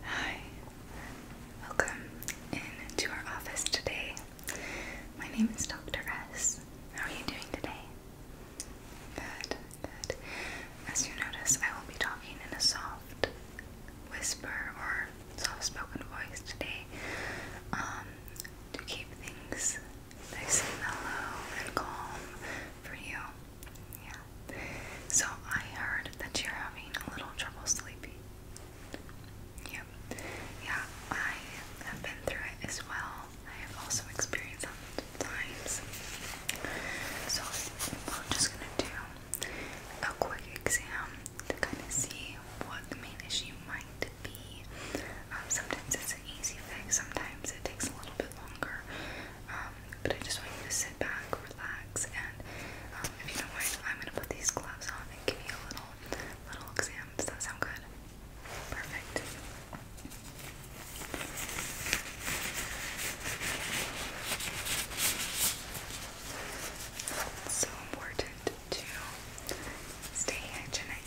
Hi, welcome into our office today. My name is Dr. S. How are you doing today? Good, good. As you notice, I will be talking in a soft whisper or soft spoken voice today um, to keep things nice and mellow and calm for you. Yeah. So I heard that you're having a little trouble sleeping. Yep. Yeah. I have been through it as well. I have also experienced that times. So I'm just gonna do a quick exam to kind of see what the main issue might be. Um, sometimes it's an easy fix, sometimes it takes a little bit longer. Um, but I just want you to sit back, relax, and um, if you don't mind, I'm gonna put these gloves on and give you a little, little exam. Does that sound good? Perfect. It's so important to stay hygienic.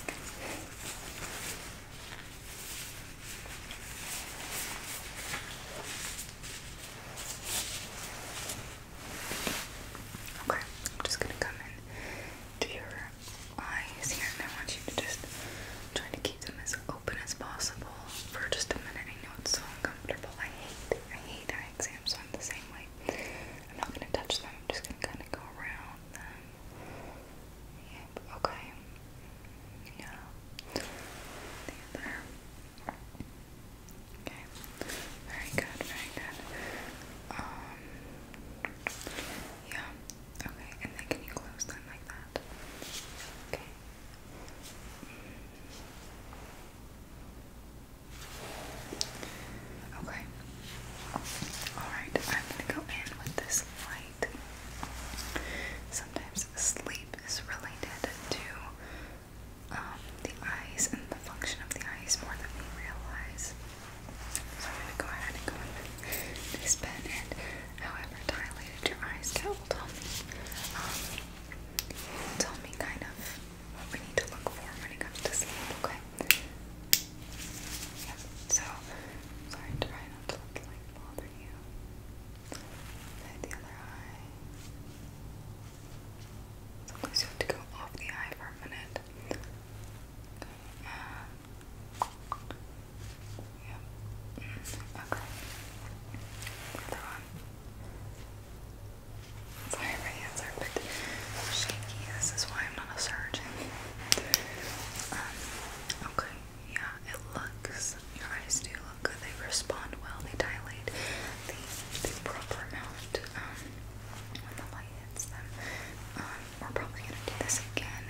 Okay, just gonna come in to your eyes here, and I want you to just try to keep them as open as possible for just a minute. I know it's so uncomfortable. I hate, I hate eye exams. I'm the same way. I'm not gonna touch them. I'm just gonna kind of go around them. Yep. Okay yeah, the other. Okay, very good, very good. Um, yeah, okay, and then can you close them like that? Okay. Okay. Alright, I'm gonna go in with this light. Sometimes sleep is related to um, the eyes and the function of the eyes more than we realize. So I'm going to go ahead and go in this pen and however dilated your eyes get Um, tell me kind of what we need to look for when it comes to sleep, okay? So sorry, try not to like bother you the other eye. Sometimes you have to go off the eye for a minute. Uh, yep. Mm, okay. Another one. Sorry, my hands are a bit shaky. This is why I'm not a surgeon. Um, okay. Yeah, it looks, your eyes do look good. They respond well, they dilate the, the proper amount um, when the light hits them. Um, we're probably going to do this again,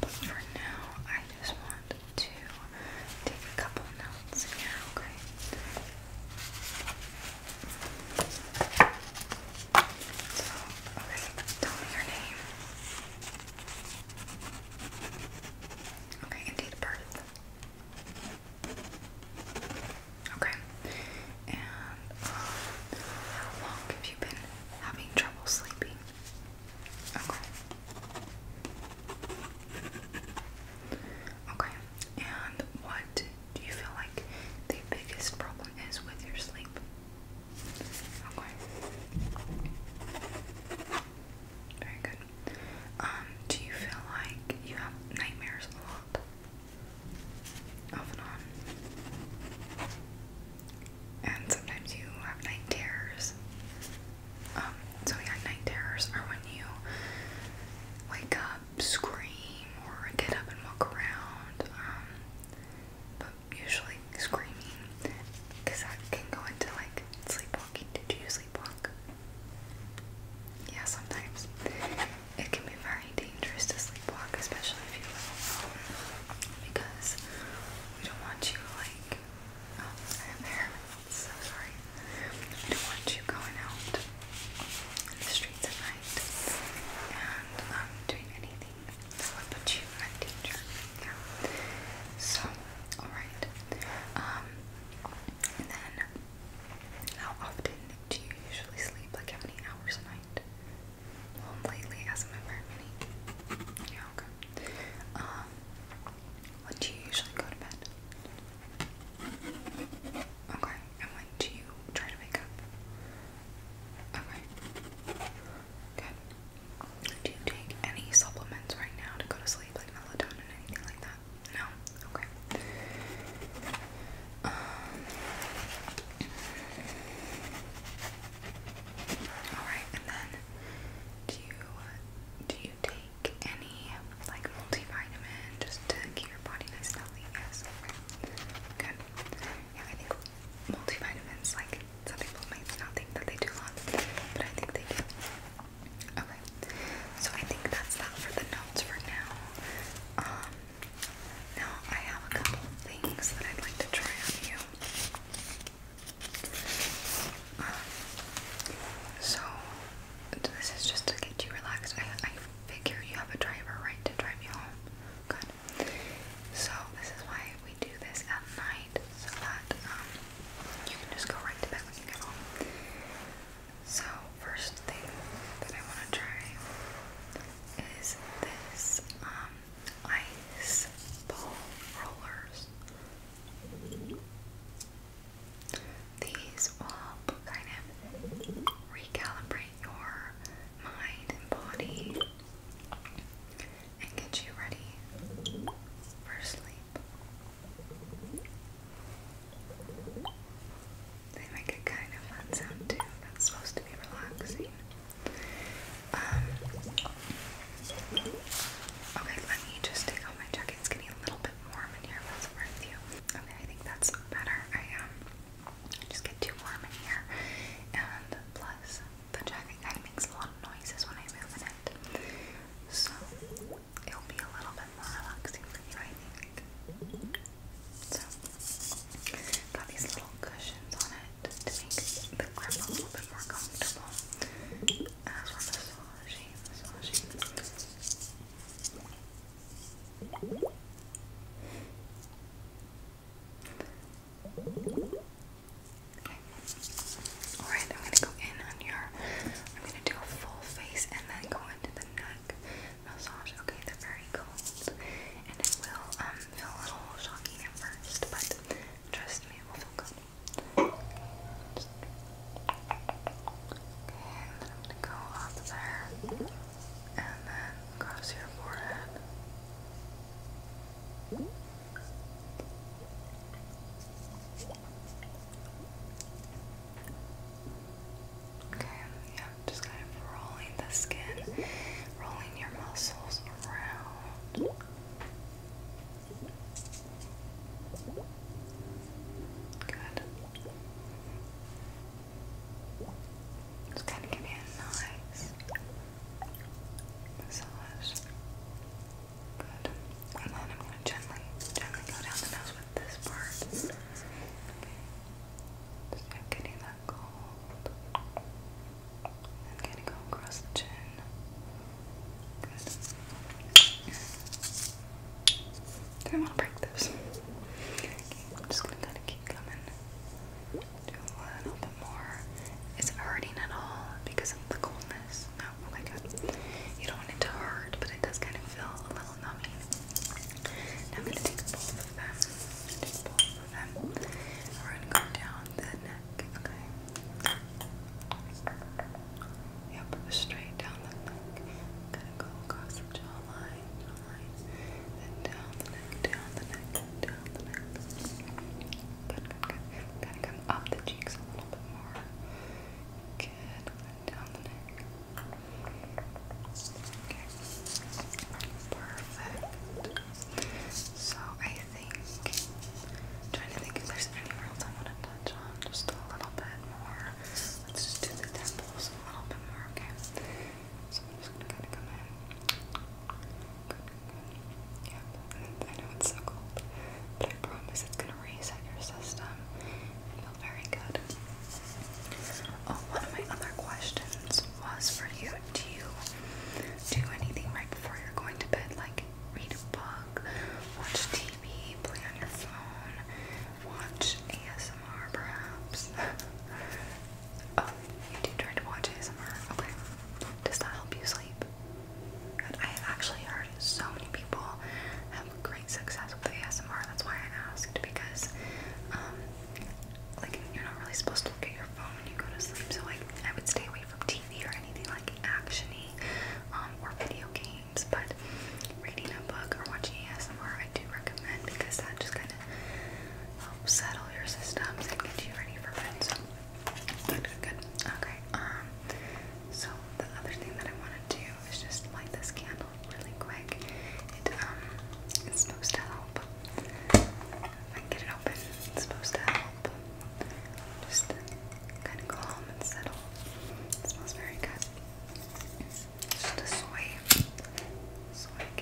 but for now, I just want to take a couple notes here, okay? So, okay, tell your name. Okay, and date of birth. Okay. And um, how long have you been having trouble sleeping? Okay. Okay. And what do you feel like the biggest problem is with your sleep? Okay. Very good. Um, do you feel like you have nightmares a lot? Off and sometimes you have night terrors. Um, so yeah, night terrors are when you wake up, scream, or get up and walk around. Um, usually screaming because that can go into like sleepwalking. Did you sleepwalk? Yeah, sometimes. It can be very dangerous to sleepwalk, especially if you because we don't want you like. Oh, I have hair. So sorry. We don't want you going out in the streets at night and um, doing anything that would put you in danger. So, alright. Um, and then, how often do you usually sleep? Like, how many hours a night? Well, lately it hasn't been many. okay. Um, when do you usually go to bed? Okay. And when do you try to wake up? Okay. Do you take any supplements right now to go to sleep, like melatonin, or anything like that? No? Okay. Um, Alright, and then do you do you take any like multivitamin just to keep your body nice and healthy? Yes. Good. Yeah, I multivitamins. Like some people might not think that they do but I think they do. Okay, so I think that's that for the notes for now. Um, now I have a couple things that I'd like to try on you. Um, so this is just to get you relaxed. I I figure you have a driver, right, to drive you home. Good. So this is why we do this at night, so that um, you can just go right to bed when you get home. So first thing that I want to try is this um, ice ball rollers. These will help kind of recalibrate your mind and body and get you ready for sleep. They make a kind of fun sound too that's supposed to be relaxing. Um, okay, let me just take off my jacket. It's getting a little bit warm in here, if that's worth you. Okay, I think that's better. I um, just get too warm in here, and plus the jacket kind makes a lot of noises when I move in it. So it'll be a little bit more relaxing for you, I think. So got these little cushions on it to make the grip a little bit more comfortable. As we're massaging, massaging. Okay. Alright, I'm gonna go in on your I'm gonna do a full face and then go into the neck massage. Okay, they're very cold. And it will um, feel a little shocking at first, but trust me, it will feel good. Okay, go up there and then across your forehead. Okay, yeah, just kind of rolling the skin, rolling your muscles around. Good. It's kind of giving it a nice Massage. Good. And then I'm going to gently, gently go down the nose with this part. Okay. Just keep getting that cold. And going to go across the chin. Good. don't want to break this. Okay, I'm just going to kind of keep coming do a little bit more. Is it hurting at all because of the coldness? No, okay, oh good. You don't want it to hurt, but it does kind of feel a little numbing. I'm going to take both of them. Take both of them. We're going to go down the neck, okay? Yep, straight down the neck. going go across the jawline, then down the neck, down the neck, down the neck. Good, good, good. Kind up the cheeks a little bit more. Good, Down the neck. Okay. Perfect. So I think trying to think if there's anywhere else I want to touch on just a little bit more. Let's do the temples a little bit more, okay? So I'm just gonna kind of come in. Good, good. Yep. I know it's so cold, but I promise it's gonna reset your system. feel very good. Oh, one of my other questions was for you. Do you do anything right before you're going to bed? Like read a book, watch TV, play on your phone, watch ASMR perhaps? Oh, you do try to watch ASMR. Okay. Does that help you sleep? I have actually heard so many people have great success with ASMR. That's why I asked because, um, like you're not really supposed to look at your phone when you go to sleep. So like I would stay away from TV or anything like actiony, um, or video games. But reading a book or watching ASMR, I do recommend because that just kind of help settle your systems and get you ready for bed. So good, good, good. Okay. Um. So the other thing that I want to do is just light this candle really quick. It um, it's supposed to help. If I can get it open, it's supposed to help. Just kind of calm and settle. It smells very good. Just a soy, soy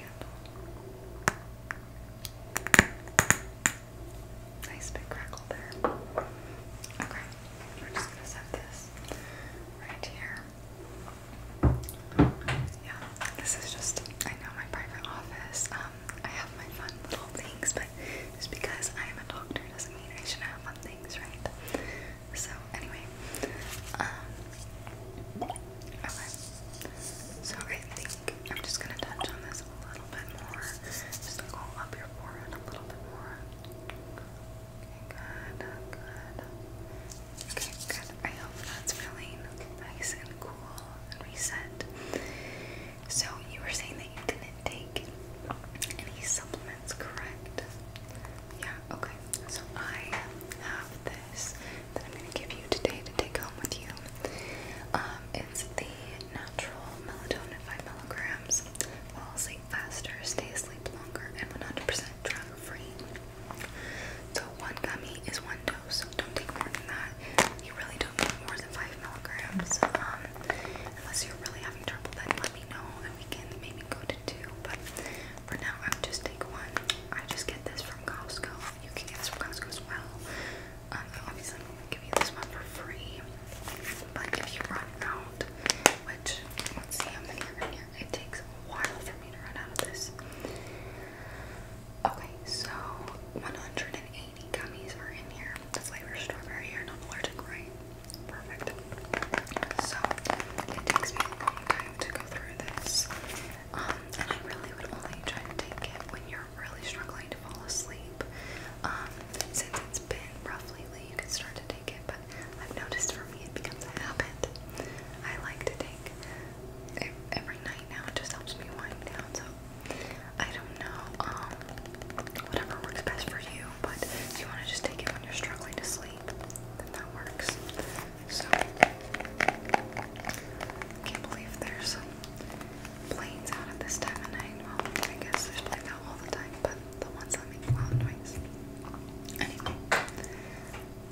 Nice big crackle there. Okay, we're just gonna set this right here. Yeah, this is just, I know, my private office. Um, I have my fun little things, but just because I am a doctor doesn't mean I shouldn't have fun things, right? So, anyway, um, Okay. So I think I'm just gonna touch on this a little bit more. Just go up your forehead a little bit more. good, good. Okay, good. I hope that's feeling nice and cool and reset. So you were saying that you didn't take any supplements, correct? Yeah, okay. So I have this that I'm going to give you today to take home with you. Um, it's the natural melatonin 5 milligrams. Fall asleep faster, stay asleep longer, and 100% drug free. So one gummy is one dose. don't take more than that. You really don't need more than 5 milligrams. Um, unless you're really having trouble, then let me know and we can maybe go to two. But for now, I'll just take one. I just get this from Costco. You can get this from Costco as well. Um, obviously, give you this one for free. But if you run out, which let's see how many are in here. It takes a while for me to run out of this. Okay, so 180 gummies are in here. The flavor strawberry. You're not allergic, right? Perfect. So it takes me a long time to go through this. Um, and I really would only try to take it when you're really struggling to fall asleep. Um, since it's been rough lately, you can start to take it, but I've noticed for me it becomes a habit. I like to take it every night now, it just helps me wind down, so I don't know, um, whatever works best for you, but if you want to just take it when you're struggling to sleep, then that works. So can't believe there's planes out at this time of night. Well, I guess there's planes all the time, but the ones that make loud noise. Anyway.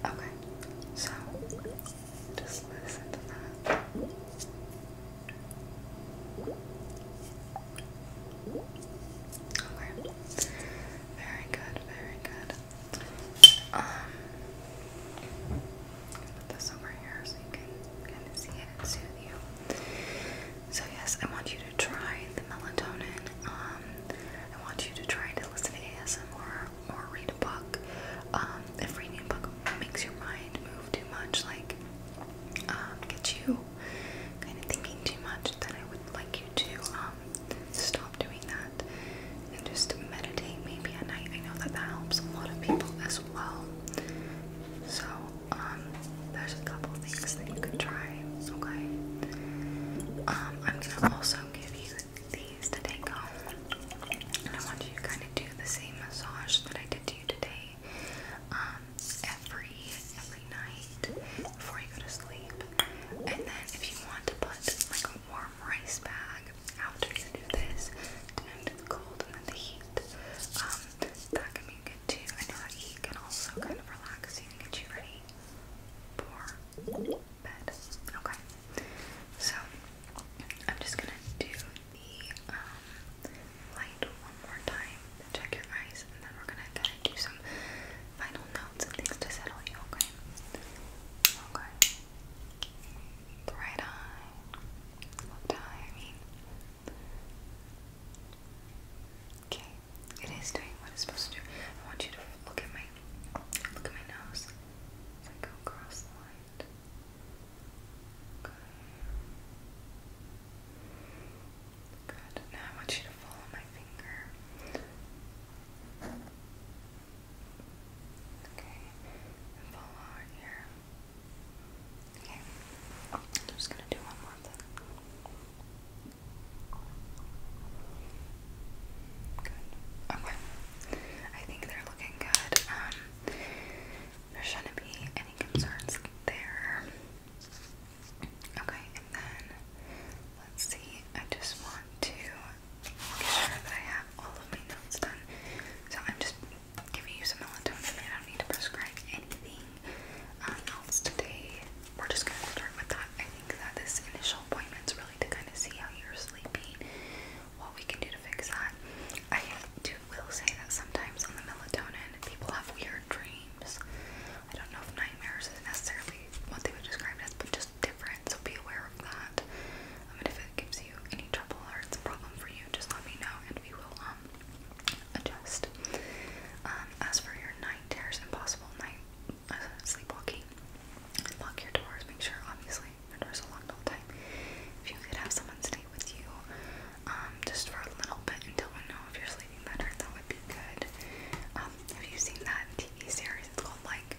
Okay. So just listen to that. Okay. Very good, very good. Um, so yes, I want you to try the melatonin. Um, I want you to try to listen to ASMR or read a book. Um, if reading a book makes your mind move too much, like get you kind of thinking too much, then I would like you to stop doing that and just meditate maybe at night. I know that that helps a lot of people as well. So, um, there's a couple things that you could try, okay? Um, I'm gonna also give you these to take home. And I want you to kind of do the same massage that I did to you today. Um, every every night before you go to sleep. And then if you want to put like a warm rice bag after you do this to end the cold and then the heat, um, that can be good too. I know that heat can also kind of relax you and get you ready for bed. Okay. So I'm just gonna do the um light one more time, check your eyes, and then we're gonna kinda do some final notes and things to settle you, okay? Okay. right eye. Left eye, I mean. Okay. It is doing what it's supposed to do. I want you to look at my look at my nose. As I go across the Okay. Now I want you to follow my finger. Okay. follow our Okay. I'm just gonna do one more thing. Good. Okay. I think they're looking good. Um, there shouldn't be any concerns there. Okay, and then let's see, I just want to make sure that I have all of my notes done. So I'm just giving you some melatonin. I don't need to prescribe anything um, else today. We're just going to start with that. I think that this initial appointment's really to kind of see how you're sleeping, what we can do to fix that. I do will say that sometimes on the melatonin, people have weird dreams. I don't know if nightmares is necessarily what they would describe it as, but just different. So be aware of that. Um, and if it gives you any trouble or it's a problem for you, just let me know and we will um adjust. Um, as for your night terrors, impossible night uh, sleepwalking, lock your doors. Make sure, obviously, your doors are locked all the time. If you could have someone stay with you, um, just for a little bit until we know if you're sleeping sleeping better, that would be good. Um, have you seen that TV series? It's called like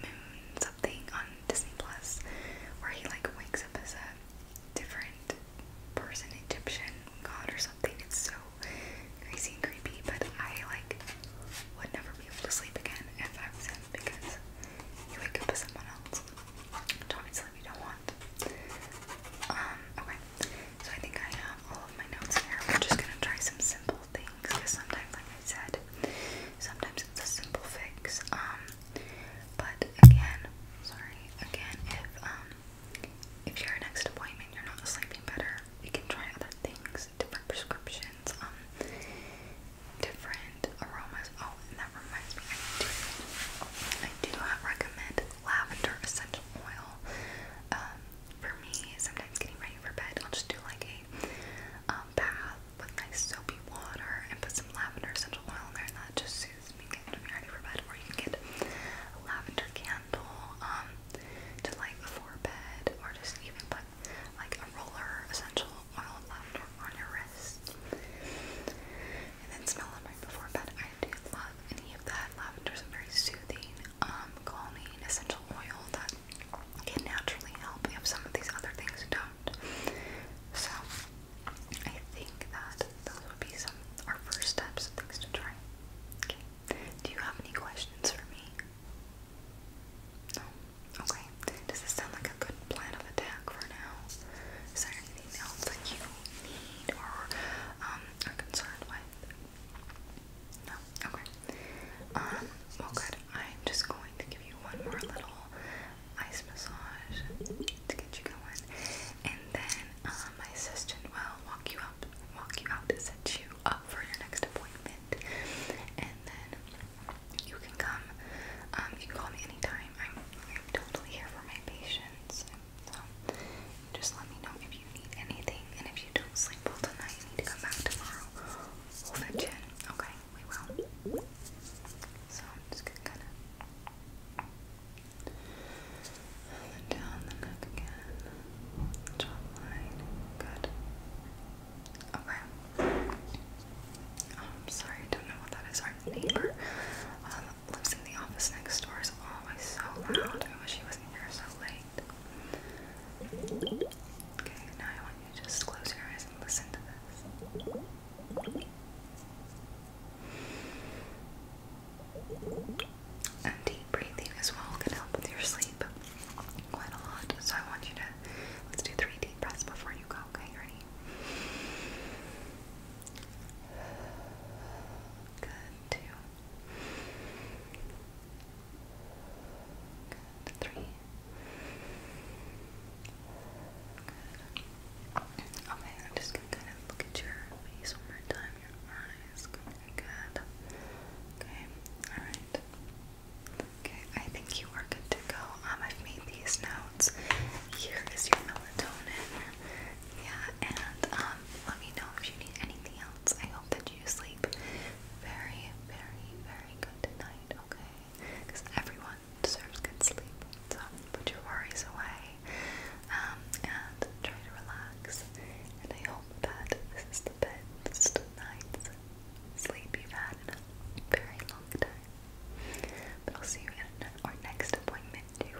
Moon something on Disney Plus, where he like wakes up as a different person, Egyptian god or something. It's so crazy and creepy, but I like would never be able to sleep again if I was him because you wake up as someone else. Which obviously we don't want. Um, okay so I think I have all of my notes here. We're just gonna try some simple things because sometimes, like I said, sometimes it's a simple fix. Um, but again, sorry, again, if um, if your next appointment you're not sleeping better, you can try other things, different prescriptions, um, different aromas. Oh, and that reminds me, I do, I do recommend lavender essential oil. Um, for me, sometimes getting ready for bed, I'll just do like a um, bath with nice soapy water and put some lavender essential oil in there, and that just soothes me and me ready for bed. Or you can get a lavender candle um, to light before bed, or just even put like a roller essential oil lavender on your wrist and then smell them right before bed. I do love have any of that. Lavender is very soothing, um, calming essential oil that can naturally help if some of these other things don't. So I think that those would be some our first steps, things to try. Okay. Do you have any questions for me? No. Okay. Does this sound like a good plan of attack for now? Is there anything else that you need or um, are concerned with? No? Okay. Um, well good. I'm just going to give you one more little ice massage to get you going. And then uh, my assistant will walk you up, walk you out to set you up for your next appointment. And then you can come. Um, you can call me anytime. I'm, totally here for my patients. So, just let me know if you need anything, and if you don't sleep well tonight, you need to come back tomorrow. We'll fetch in, okay? We will. So, I'm just gonna kind of. And then down the neck again. Jawline. Good. Okay. Oh, I'm um, sorry, I don't know what that is. Our neighbor. Um, lives in the office next door is always so loud. I wish he wasn't here so late. Okay, now I want you to just close your eyes and listen to this. deep breathing as well can help with your sleep quite a lot. So I want you to let's do three deep breaths before you go. Okay, ready? Good. Good. Three. Okay, just gonna look at your face one more time, your eyes. Good. Okay. All right. Okay, I think you are good to go. Um, I've made these notes. Here is your melatonin. Yeah, and um, let me know if you need anything else. I hope that you sleep very, very, very good tonight, okay? Because everyone deserves good sleep. So put your worries away um, and try to relax. And I hope that this is the best night's sleep you've had in a very long time. But I'll see you in our next appointment too,